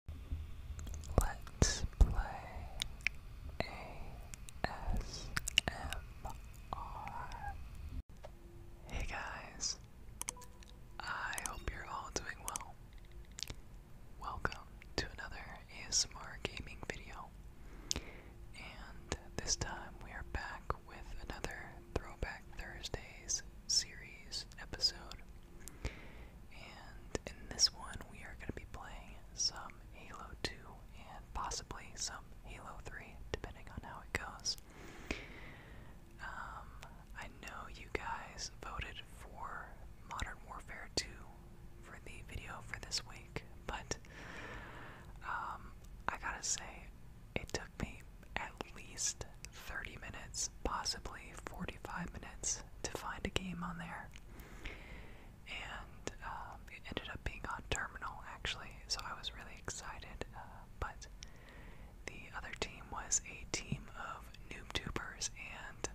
Hey guys, I hope you're all doing well. Welcome to another ASMR gaming video. And this time we are back with another Throwback Thursdays series episode. And in this one, we are going to be playing some Halo 2 and possibly some Halo 3, depending on how it goes. Um, I know you guys voted for Modern Warfare 2 for the video for this week, but um, I gotta say, it took me at least 30 minutes, possibly 45 minutes, to find a game on there. And um, it ended up being on Terminal, actually, so I was really excited. Uh, but the other team was a team of noob-tubers, and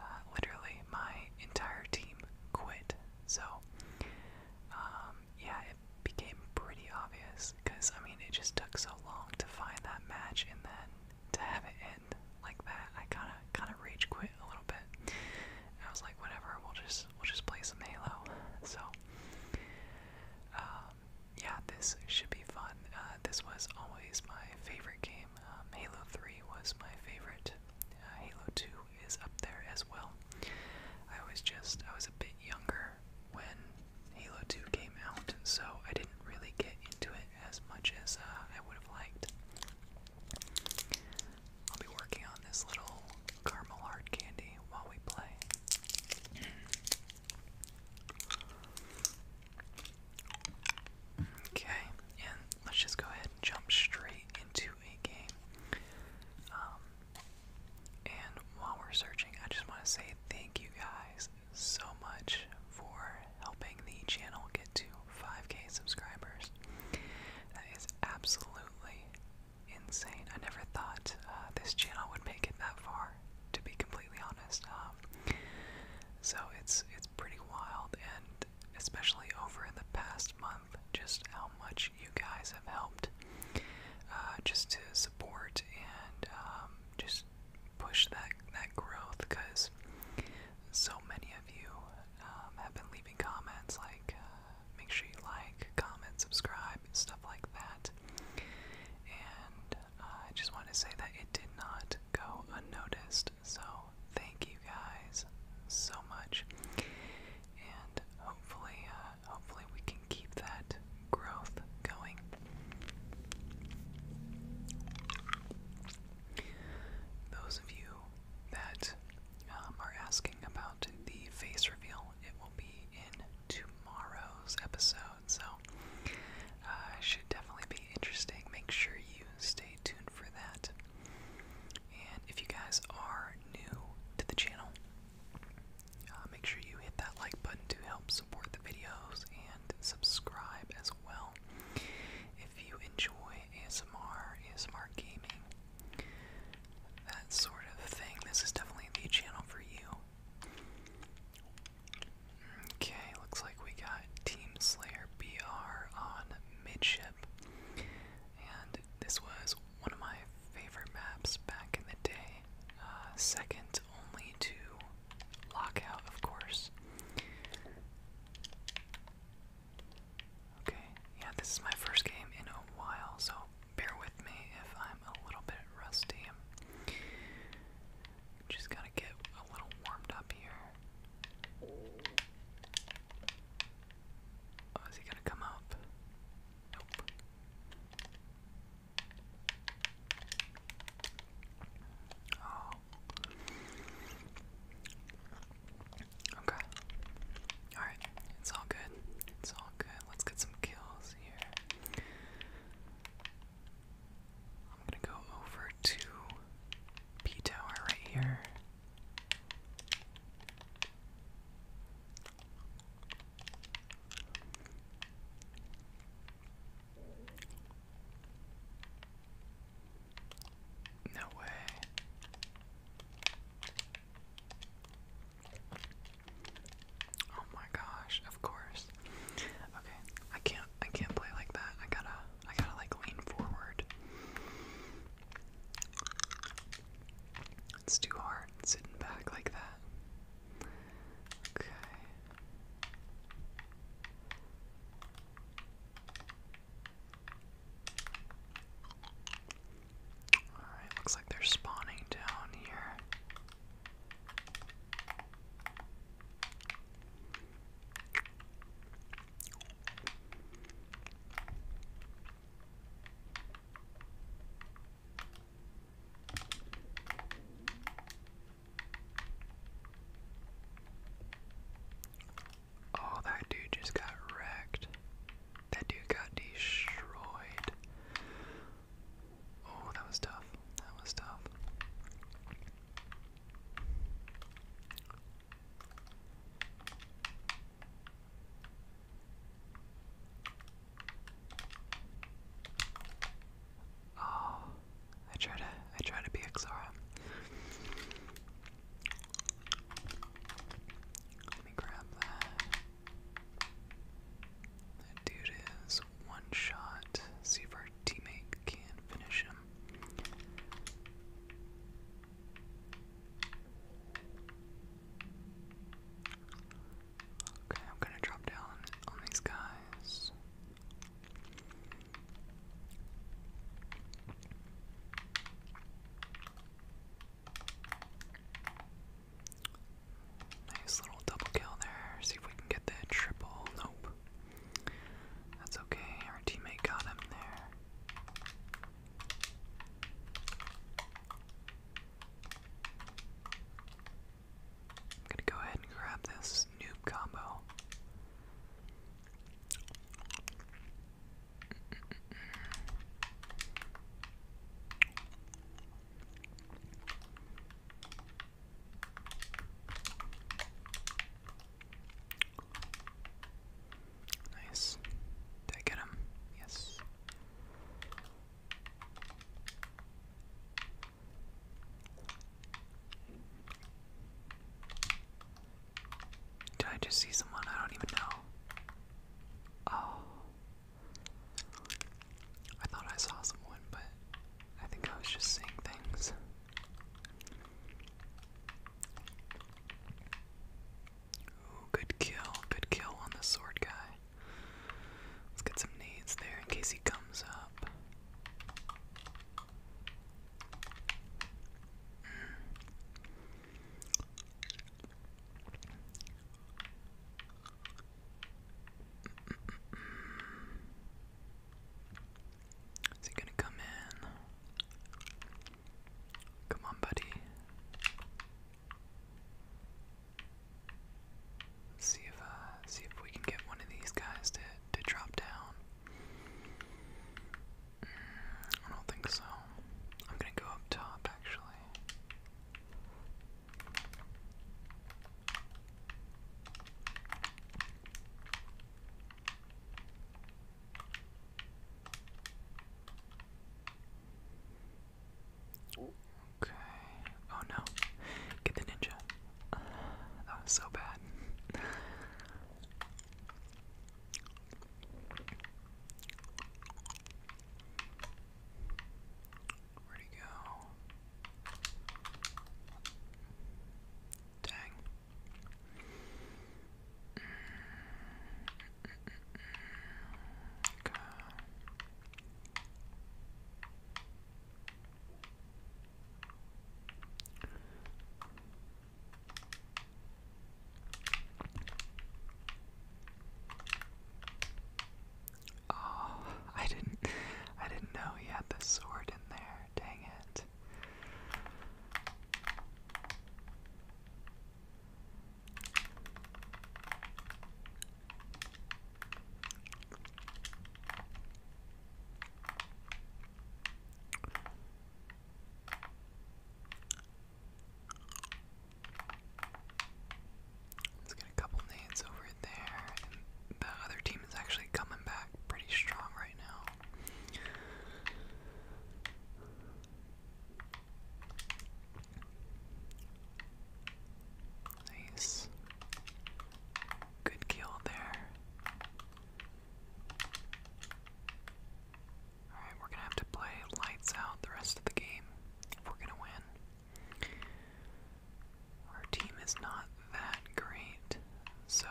uh, literally my entire team quit. So, um, yeah, it became pretty obvious because, I mean, it just took so long to find that match and then to have it end quit like that. I kind of kind of rage quit a little bit. And I was like, whatever, we'll just we'll just play some Halo. So um, yeah, this should be fun. Uh, this was always my favorite game. Um, Halo 3 was my favorite. Uh, Halo 2 is up there as well. I was just I was a bit younger when Halo 2 came out, so I didn't really get into it as much as uh, I would have liked. I'll be working on this little caramel hard candy while we play. Okay, and let's just go ahead and jump straight into a game. Um, and while we're searching, I just want to say thank you guys so much for helping the channel get to 5k subscribers. That is absolutely insane. I never thought uh, this channel would make it that far, to be completely honest. Um, so it's it's pretty wild, and especially over in the past month, just how much you guys have helped, uh, just to support and um, just push that that growth because so many of you um, have been leaving comments like uh, make sure you like, comment, subscribe, stuff like that. And uh, I just want to say that it did not go unnoticed. So thank you guys so much. And hopefully, uh, hopefully we can keep that growth going. Those of you that um, are asking about the face reveal, it will be in tomorrow's episode, so uh, should definitely be interesting. Make sure you stay tuned for that. And if you guys are new to the channel, uh, make sure you hit that like button to help support the videos and subscribe as well well. If you enjoy ASMR, ASMR gaming, that sort of thing, this is definitely the channel for you. Okay, looks like we got Team Slayer BR on midship. And this was one of my favorite maps back in the day. Uh, second only to Lockout, of course. Okay, yeah, this is my first game in a while, so bear with me if I'm a little bit rusty. Just gotta get a little warmed up here. Oh, is he gonna come up? Nope. Oh, Okay. Alright, it's all good. It's all good. Let's get some kills here. I'm gonna go over to P Tower right here. No way. Oh my gosh, of course. Okay, I can't I can't play like that. I gotta I gotta like lean forward. It's too hard sitting back like that. Okay. Alright, looks like they're spawning down here. Oh, that dude just got wrecked. That dude got destroyed. Oh, that was tough. That was tough. Oh. I try to I try to be Xara. Let me grab that. That dude is one shot. See if our teammate can finish him. Okay, I'm gonna drop down on these guys. Nice little double kill there. See if we can get that triple. Nope. That's okay. Our teammate got him there. I'm gonna go ahead and grab this noob combo. Nice. Did I get him? Yes. Did I just see someone? I don't even know. Oh. I thought I saw someone, but I think I was just seeing things. Ooh, good kill. Good kill on the sword guy. Let's get some nades there in case he comes up. Is he gonna come in? Come on, buddy. Let's see if uh, see if we can get one of these guys to to drop down. I don't think so. I'm gonna go up top actually. Okay. Oh no. Get the ninja that was so bad. Where'd he go? Dang. Okay. Oh, I didn't I didn't know he had the sword in there. Dang it. Let's get a couple nades over there. the other team is actually coming back pretty strong right now. Nice. Good kill there. Alright, we're gonna have to play lights out the rest of the game if we're gonna win. Our team is not that great, so.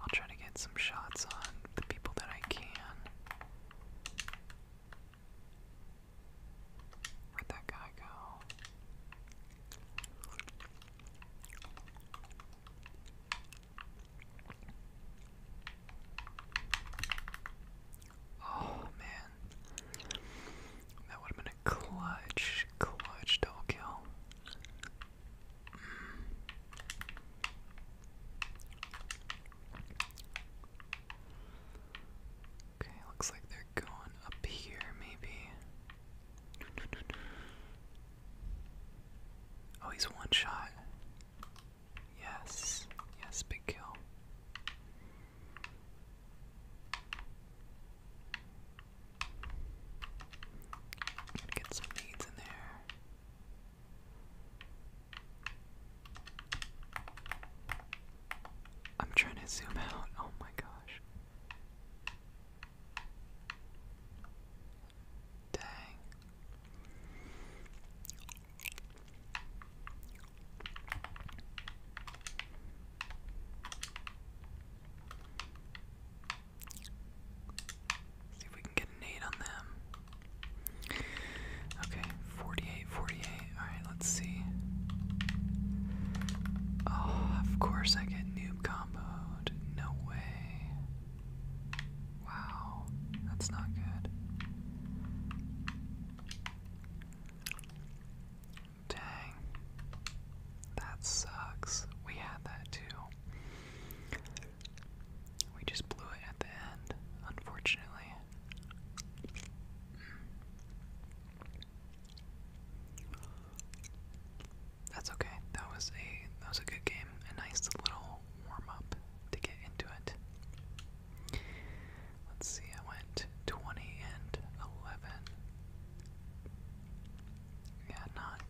I'll try to get some shots on the people that I can. Where'd that guy go? Oh man. That would have been a clutch, clutch double kill. Okay, looks like they're going up here, maybe. Oh, he's one shot. Yes, yes, big kill. get some needs in there. I'm trying to zoom out. Oh my gosh. Dang. See if we can get an aid on them. Okay, 48, Alright, let's see. Oh, of course I get noob comboed. No way. Wow, that's not good. Dang. That sucks. We had that too. We just blew it at the end, unfortunately. That's okay. That was a that was a good game. A nice little warm up to get into it. Let's see. I went 20 and 11. Yeah, not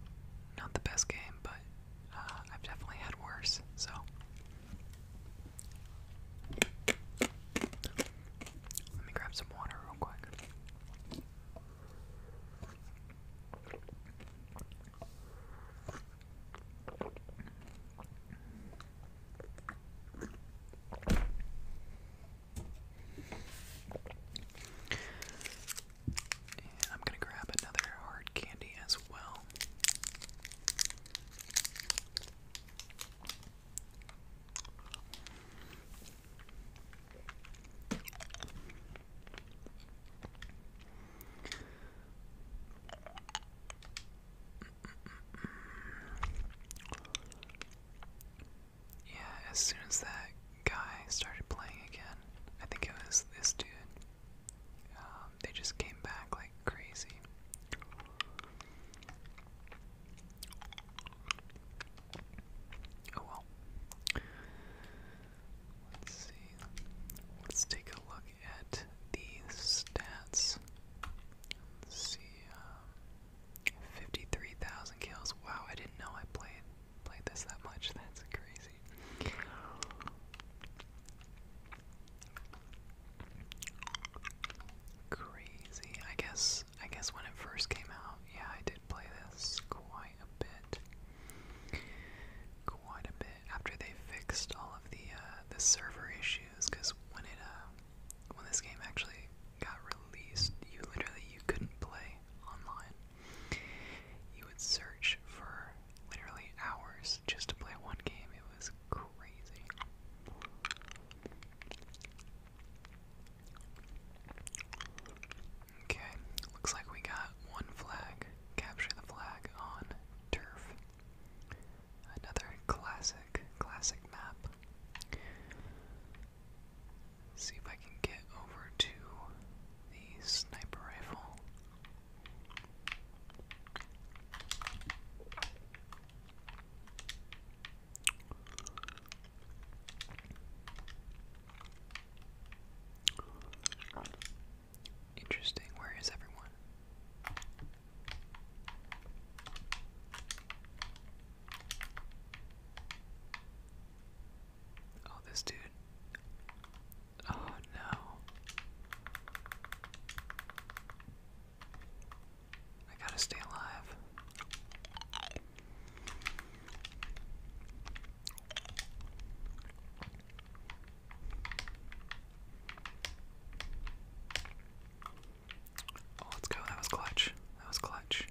not the best game, but uh, I've definitely had worse. So let me grab some water real quick. And I'm going to grab another hard candy as well. Yeah, as soon as that guy started playing again, I think it was this dude. Um, they just came back like crazy. Oh well. Let's see. Let's take a look at the stats. Let's see. Um, Fifty-three thousand kills. Wow, I didn't know I played played this that much. That's crazy. Crazy. I guess I guess when it first came out, yeah, I did play this quite a bit. Quite a bit after they fixed all of the uh, the server issues cuz when it uh, when this game actually got released, you literally you couldn't play online. You would search for literally hours just to play one game. It was crazy. Okay, looks like we got one flag. Capture the flag on turf. Another classic, classic map. See if I can get over to the sniper rifle. Interesting, where is everyone? Oh, this dude. Oh no. I gotta stay alive. Oh, let's go. That was clutch. That was clutch.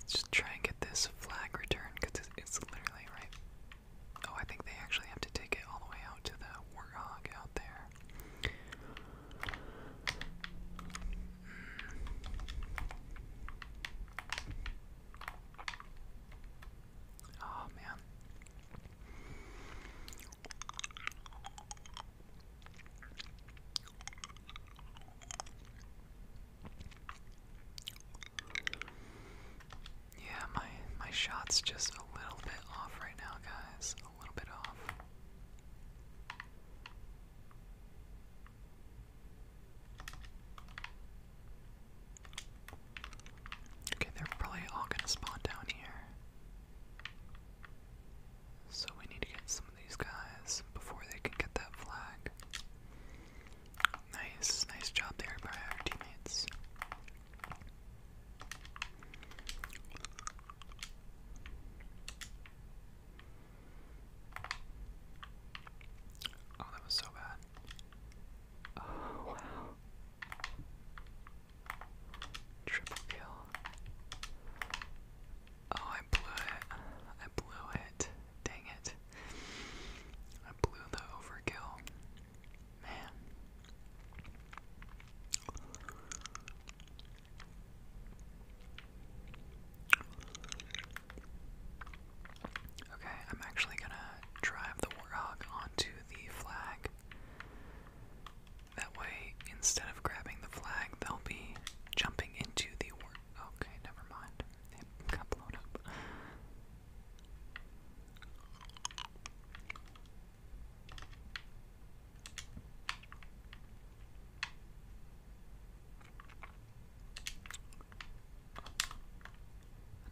Let's just try and get this flag returned because it's literally right. Oh, I think they actually have to take it all the way out to the warthog out there. Oh man. Yeah, my my shot's just a little bit off right now, guys. A little bit off. Okay, they're probably all gonna spawn down here. So we need to get some of these guys before they can get that flag. Nice, nice job there by our teammates. Oh, that was so bad. Oh, wow. Triple kill. Oh, I blew it. I blew it. Dang it. I blew the overkill. Man. Okay, I'm actually gonna drive the warthog onto the flag. That way, instead of grabbing the flag, they'll be jumping into the warthog. Okay, never mind. It got blown up.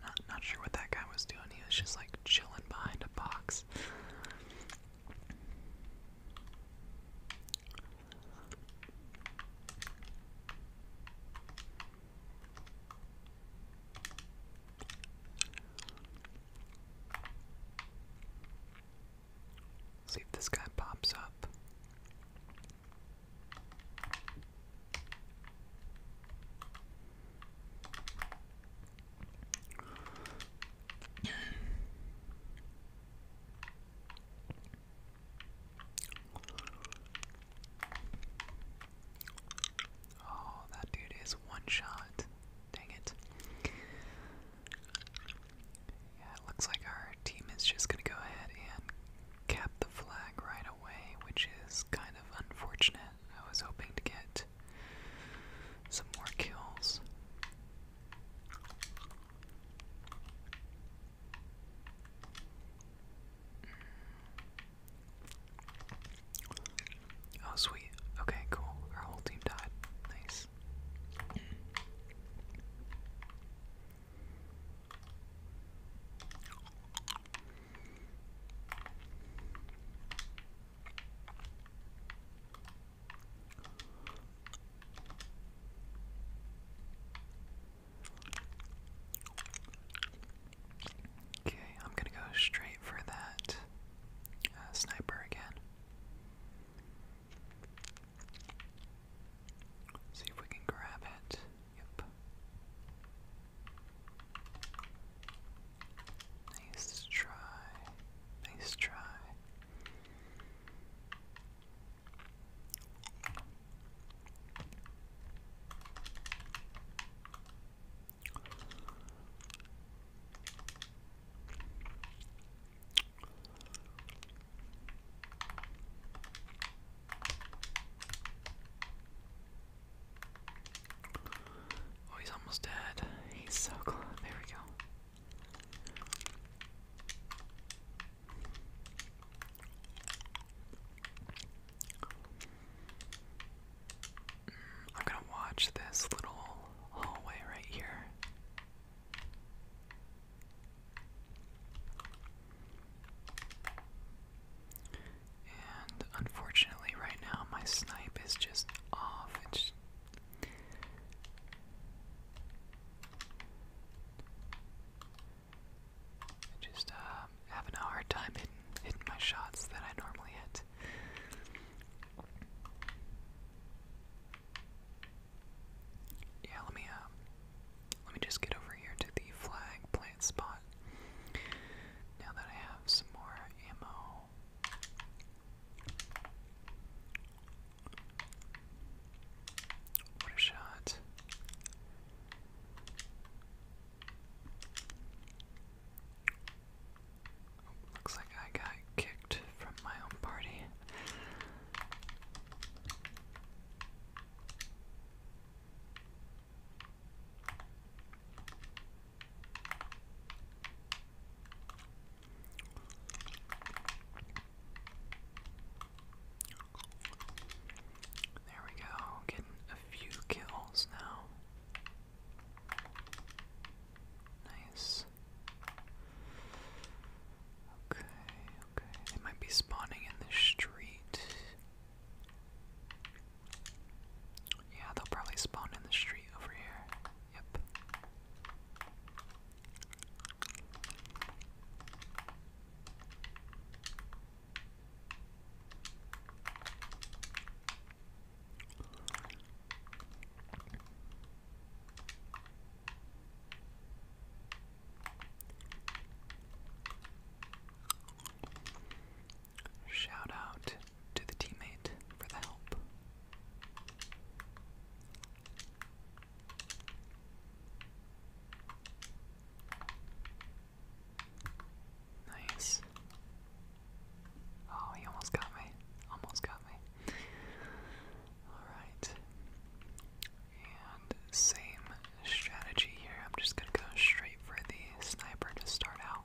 Not not sure what that guy was doing. He was just like chilling behind a box. See if this guy pops up. Oh, that dude is one shot. Dang it. Yeah, it looks like our team is just going to go ahead and cap the flag right away, which is kind of unfortunate. I was hoping to get some more kills. Oh, sweet. Okay, cool. Our whole team died. Nice. Okay, I'm gonna go straight for that uh, sniper again. See if we can grab it. Yep. Nice try. Nice try. Oh, he's almost dead. He's so close. There we go. Mm, I'm gonna watch this little hallway right here. And unfortunately, right now, my snipe is just off just uh, having a hard time hitting, my shots that I normally hit. Yeah, let me uh, let me just get over here to the flag plant spot. Now that I have some more ammo. What a shot. Oh, looks like I got kicked from my own party. There we go, getting a few kills now. Nice. Okay, okay. They might be spawning in the street. Yeah, they'll probably spawn in the street over here. Yep. Shout out to the teammate for the help. Nice. Oh, he almost got me. Almost got me. Alright. same strategy here. I'm just gonna go straight for the sniper to start out.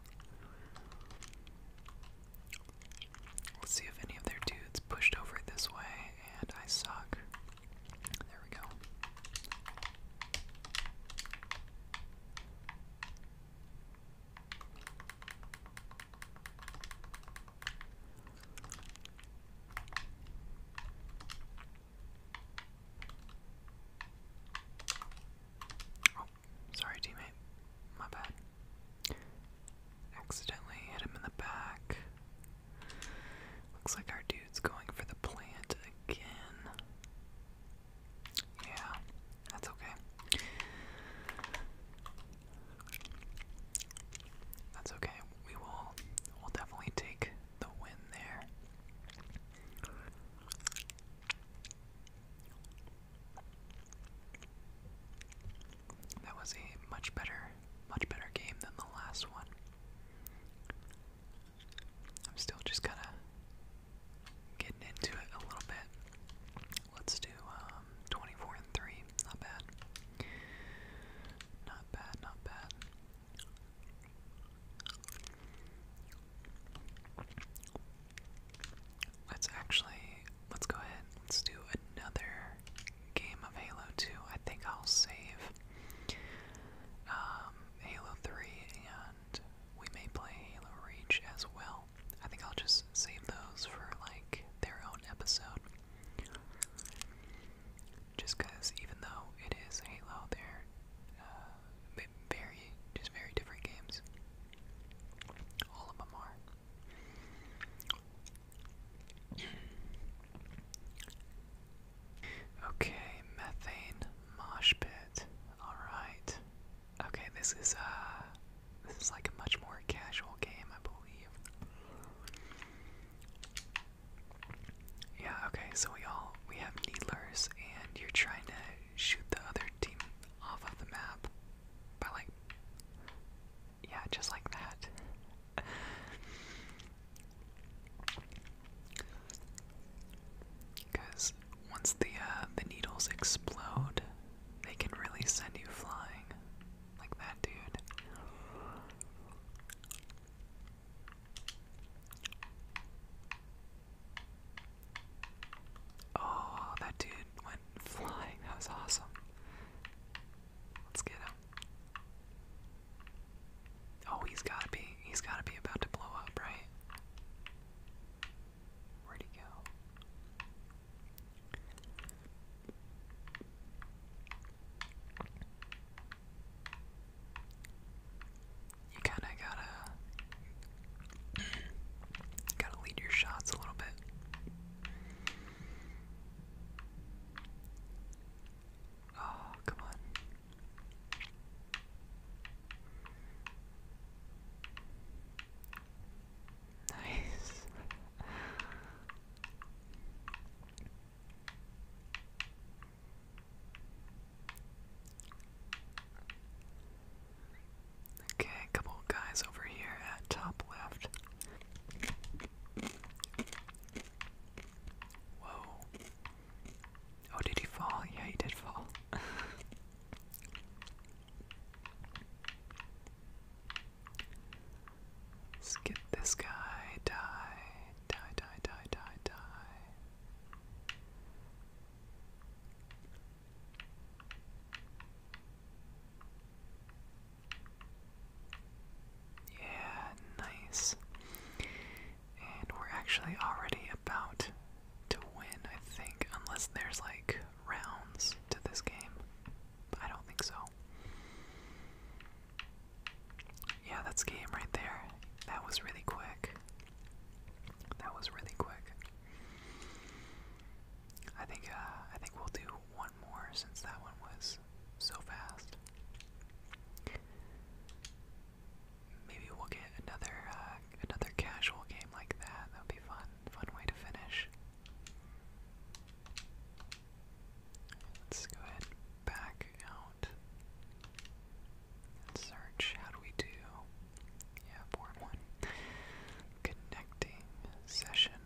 Let's see if any of their dudes pushed over this way, and I suck. There we go. Oh, sorry, teammate. My bad. Accidentally hit him in the back. Looks like our D dude's going for the plant again. Yeah, that's okay. That's okay. We will we'll definitely take the win there. That was a much better, much better game than the last one. I'm still just kind of getting into it a little bit. Let's do um, 24 and 3. Not bad. Not bad, not bad. Let's actually, let's go ahead. Let's do another game of Halo 2. I think I'll save um, Halo 3, and we may play Halo Reach as well. I think I'll just save those for like their own episode. Just because, even though it is Halo, they're uh, very, just very different games. All of them are. Okay, methane mosh Alright. Okay, this is uh this is like a much more casual game, I believe. Yeah, okay, so we all we have needlers and you're trying to shoot the other team off of the map by like yeah, just like that. Because once the uh, the needles explode, they can really send you flying, like that dude. Oh, that dude went flying. That was awesome. Let's get him. Oh, he's gotta be. He's gotta be about to blow up, right? Where'd he go? You kind of gotta gotta lead your shots a little bit. Oh, come on. Nice. Okay, a couple guys over here at top left. Whoa. Oh, did he fall? Yeah, he did fall. let this guy. Die, die, die, die, die, die. Yeah, nice. And we're actually already about to win, I think, unless there's like rounds to this game. I don't think so. Yeah, that's game right there. That was really quick. That was really quick. I think uh, I think we'll do one more since that one was so fast maybe we'll get another uh, another casual game like that. That'd be fun, fun way to finish. Let's go ahead back out search. How do we do? Yeah, form one. Connecting session.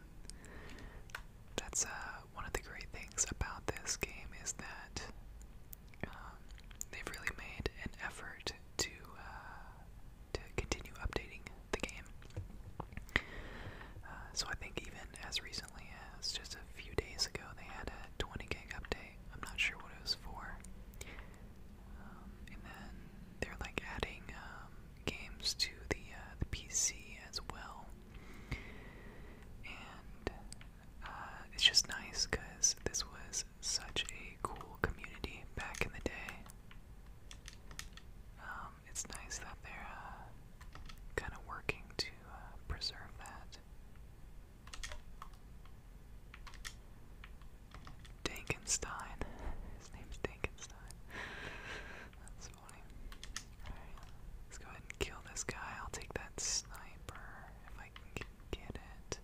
That's uh, one of the great things about this game is that um, they've really made an effort to uh, to continue updating the game. Uh, so I think even as recently as just a few days ago, they had a 20 gig update. I'm not sure what it was for. Um, and then they're like adding um, games to the uh, the PC as well. And uh, it's just nice because this was such a cool community back in the day. Um, it's nice that they're uh, kind of working to uh, preserve that. Dankenstein. His name's Dankenstein. That's funny. Alright, let's go and kill this guy. I'll take that sniper if I can get it.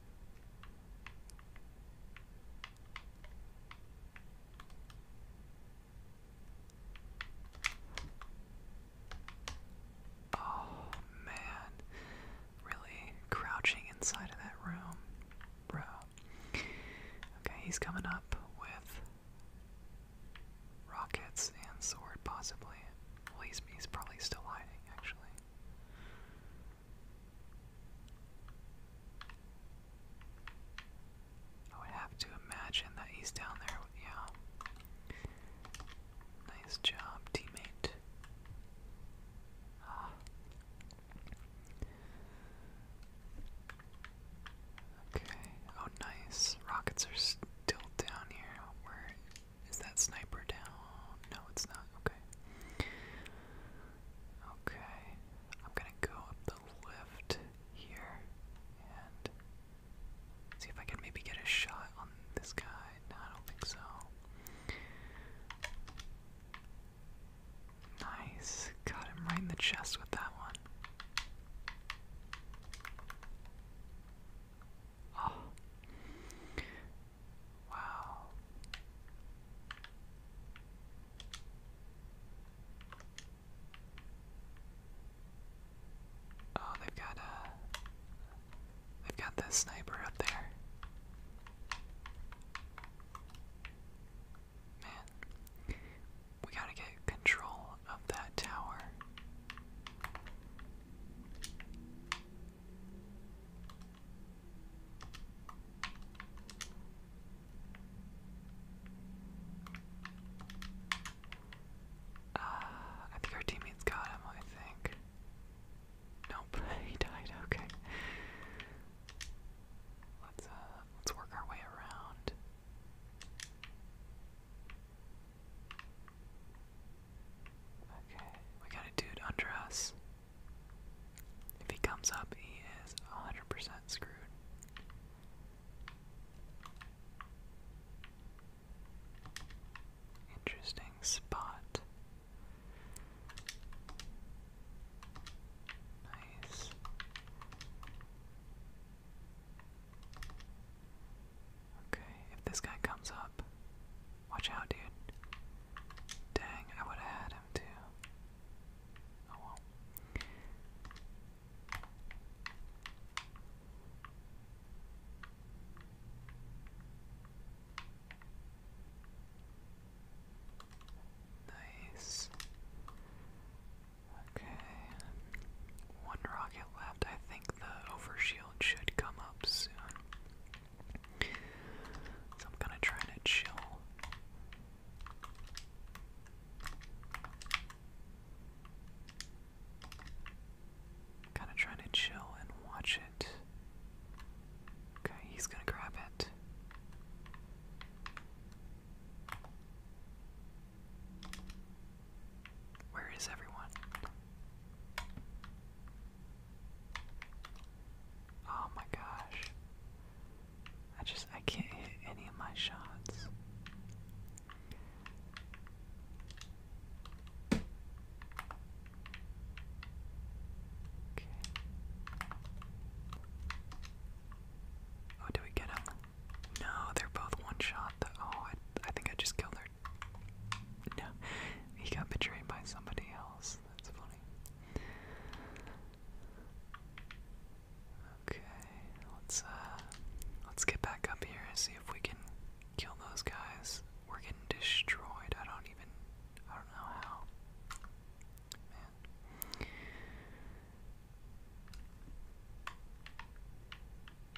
Oh man, really crouching inside of that room, bro. Okay, he's coming up with rockets and sword, possibly. Well, he's, he's probably still hiding, actually. I would have to imagine that he's down there. Yeah. Nice job, teammate. Ah. Okay. Oh, nice. Rockets are still down here. Is that sniper down? No, it's not. Okay. Okay. I'm gonna go up the lift here and see if I can maybe get a shot on this guy. I don't think so. Nice. Got him right in the chest with that one. Oh. Wow. Oh, they've got a uh, they've got this sniper up there. Man, we gotta get control of that tower. Uh, I think our teammates got him, I think. Nope, he died, okay. Let's uh, let's work our way around. Okay, we got a dude under us. If he comes up, he is 100% screwed. Interesting spot. Nice. Okay, if this guy comes up, watch out, dude. Dang, I would have had him too. Oh well. Nice. Okay. One rocket left. I think the overshield should come up soon. I'm kind of trying to chill. Kind of trying to chill and watch it. Okay, he's gonna grab it. Where is everyone? Oh my gosh. I just I can't hit any of my shots. Okay. Oh, do we get him? No, they're both one shot. Though. Oh, I, I think I just killed their No, he got betrayed by somebody else. That's funny. Okay, let's uh, let's get back up here and see if we can kill those guys. We're getting destroyed. I don't even, I don't know how.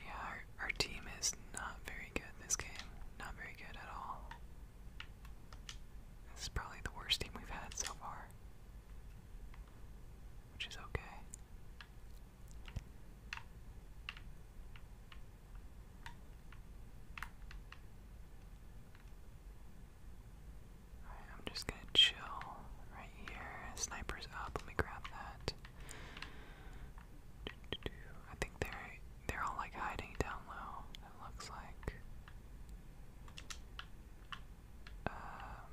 Yeah, our, our team is not very good this game. Not very good at all. This is probably the worst team we've had so far, which is okay. I'm just gonna chill right here. Sniper's up, let me grab that. I think they're they're all like hiding down low, it looks like. Um,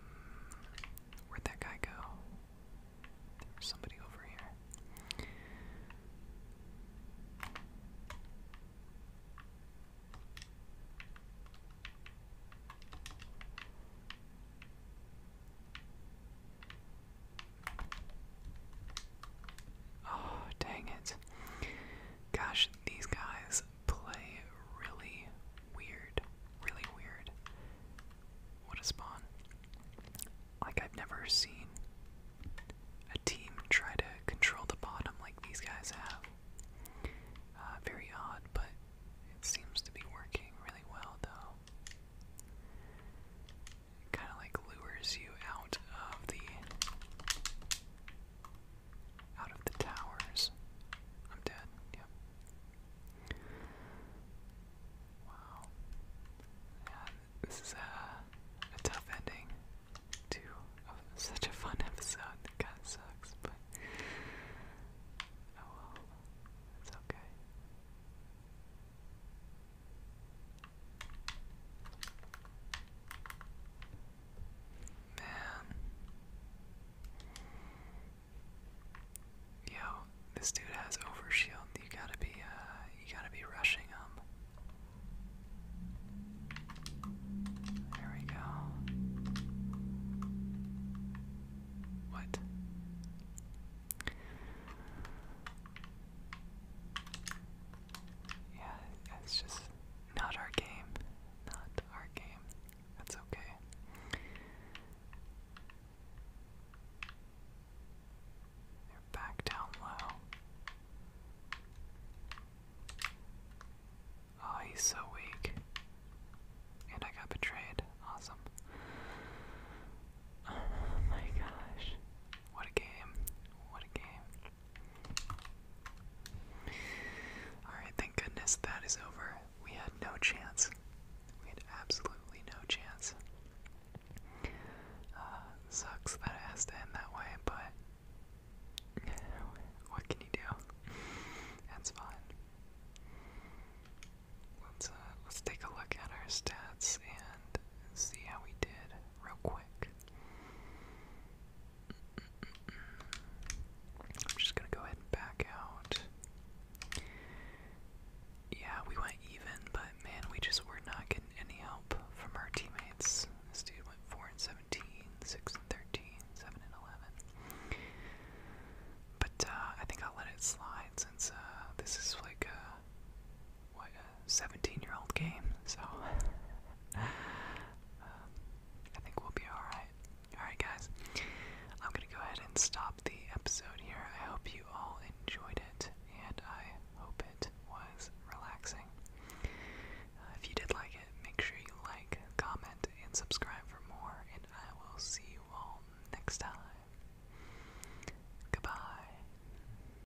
where'd that guy go? There somebody over here. Oh, dang it. Gosh, these guys play really weird. Really weird. What a spawn. Like, I've never seen a team try to control the bottom like these guys have. Uh, very odd, but it seems to be working really well, though kind of like lures you out of the out of the towers. I'm dead. Yep. Wow. this is a, tough ending to such a fun episode. It kind of sucks, but oh well. It's okay. Man. Yo, this dude has overshield. You gotta be, uh, you gotta be rushing him. There we go. What? yeah, it's just not our game. Not our game. That's okay. They're back down low. Oh, he's so weak. And I got betrayed. Awesome. Oh my gosh. What a game. What a game. Alright, thank goodness that is over. We had no chance. We had absolutely no chance. Uh, sucks that it has to end that way, but what can you do? That's fine. Let's uh, let's take a look at our stats and see how we did real quick. I'm just gonna go ahead and back out. Yeah, we went even, but man, we just were not getting any help from our teammates. This dude went 4 and 17, 6 and 13, 7 and 11. But uh, I think I'll let it slide since uh, this is like a what a 17 year old game, so um, I think we'll be alright. Alright, guys, I'm gonna go ahead and stop the episode here. I hope you all enjoyed it, and I hope it was relaxing. Uh, if you did like it, make sure you like, comment, and subscribe for more, and I will see you all next time. Goodbye.